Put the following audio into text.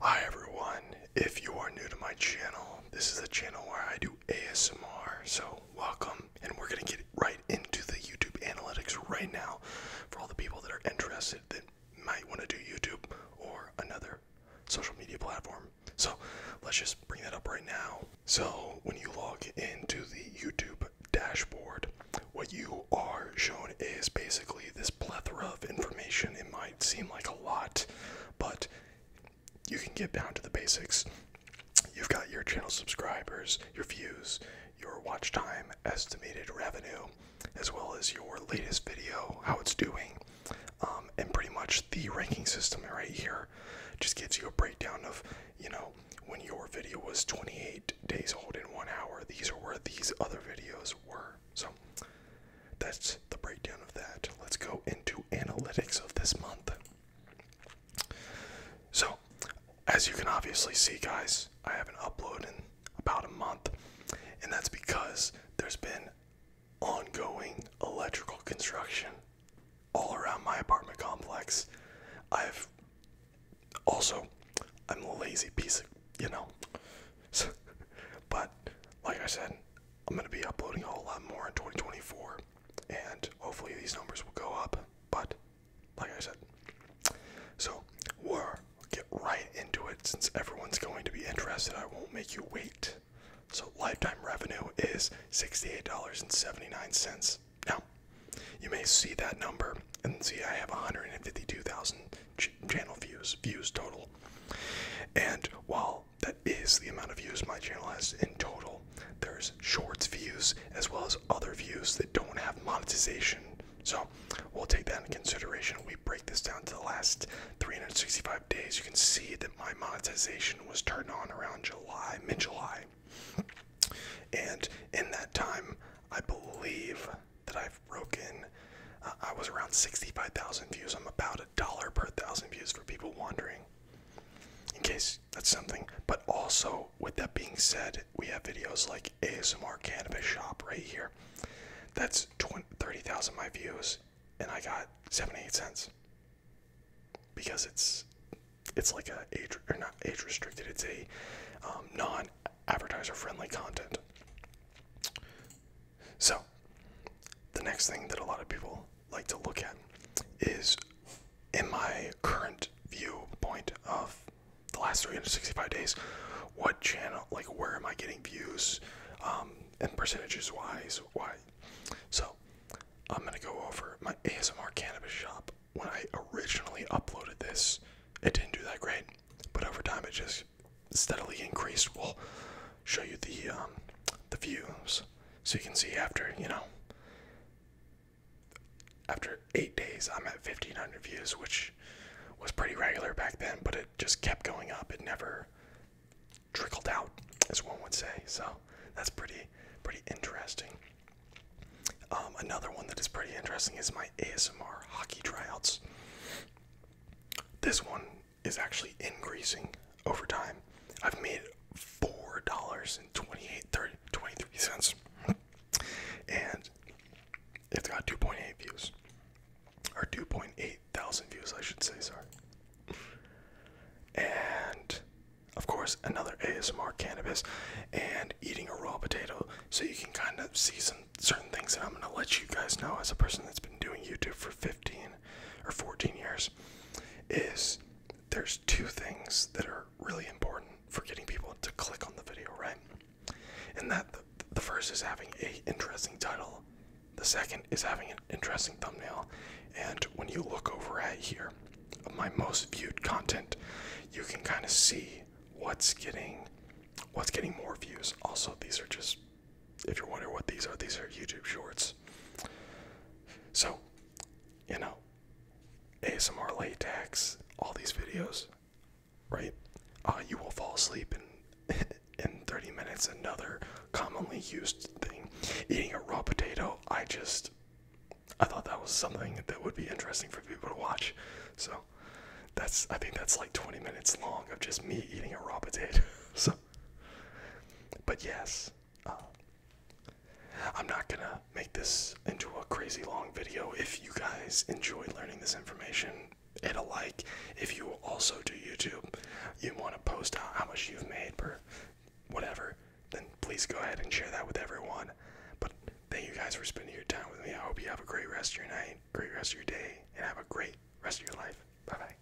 Hi everyone, if you are new to my channel, this is a channel where I do ASMR, so welcome. And we're gonna get right into the YouTube analytics right now for all the people that are interested that might wanna do YouTube or another social media platform. So let's just bring that up right now. So when you log into the YouTube dashboard, what you are shown is basically this plethora of information. It might seem like a lot, but you can get down to the basics. You've got your channel subscribers, your views, your watch time, estimated revenue, as well as your latest video, how it's doing, um, and pretty much the ranking system right here just gives you a breakdown of, you know, when your video was 28 days old in one hour, these are where these other videos were. So that's the breakdown of that. Let's go into analytics of this month. So, as you can obviously see, guys, I haven't uploaded in about a month, and that's because there's been ongoing electrical construction all around my apartment complex. I've also, I'm a lazy piece of, you know. but, like I said, I'm going to be uploading a whole lot more in 2024. And hopefully these numbers will go up. But, like I said. So, we are get right into it since everyone's going to be interested. I won't make you wait. So, lifetime revenue is $68.79. Now, you may see that number and see I have 152,000 channel views, views total. And while that is the amount of views my channel has in total, there's shorts views as well as other views that don't have monetization. So we'll take that into consideration. We break this down to the last 365 days, you can see that my monetization was turned on around July, mid July. And in that time, I believe that I've broken, uh, I was around 65,000 views. I'm about a dollar per thousand views for people wondering. In case that's something. But also, with that being said, we have videos like ASMR Cannabis Shop right here. That's 30,000 my views, and I got 78 cents because it's it's like a age or not age restricted. It's a um, non-advertiser friendly content. So the next thing that a lot of people like to look at is in my current viewpoint of the last 365 days what channel like where am i getting views um, and percentages wise, why? So I'm gonna go over my ASMR cannabis shop. When I originally uploaded this, it didn't do that great, but over time it just steadily increased. We'll show you the um, the views, so you can see after you know. After eight days, I'm at 1,500 views, which was pretty regular back then, but it just kept going up. It never trickled out, as one would say. So that's pretty pretty interesting. Um, another one that is pretty interesting is my ASMR hockey tryouts. This one is actually increasing over time. I've made four dollars and 23 cents, and it's got 2.8 views. Or 2.8 thousand views, I should say, sorry. And of course, another ASMR cannabis and eating a raw potato. So you can kind of see some certain things that I'm going to let you guys know as a person that's been doing YouTube for 15 or 14 years is there's two things that are really important for getting people to click on the video, right? And that the, first is having a interesting title, the second is having an interesting thumbnail, and when you look over at here, my most viewed content, you can kind of see what's getting what's getting more views. Also, these are just if you're wondering what these are, these are YouTube shorts. So, you know, ASMR latex, all these videos, right? Uh, you will fall asleep in in 30 minutes. Another commonly used thing, eating a raw potato. I just, I thought that was something that would be interesting for people to watch. So, that's I think that's like 20 minutes long of just me eating a raw potato. so, but yes, Oh. I'm not gonna make this into a crazy long video. If you guys enjoy learning this information, hit a like. If you also do YouTube, you want to post how much you've made per whatever, then please go ahead and share that with everyone. But thank you guys for spending your time with me. I hope you have a great rest of your night, great rest of your day, and have a great rest of your life. Bye bye.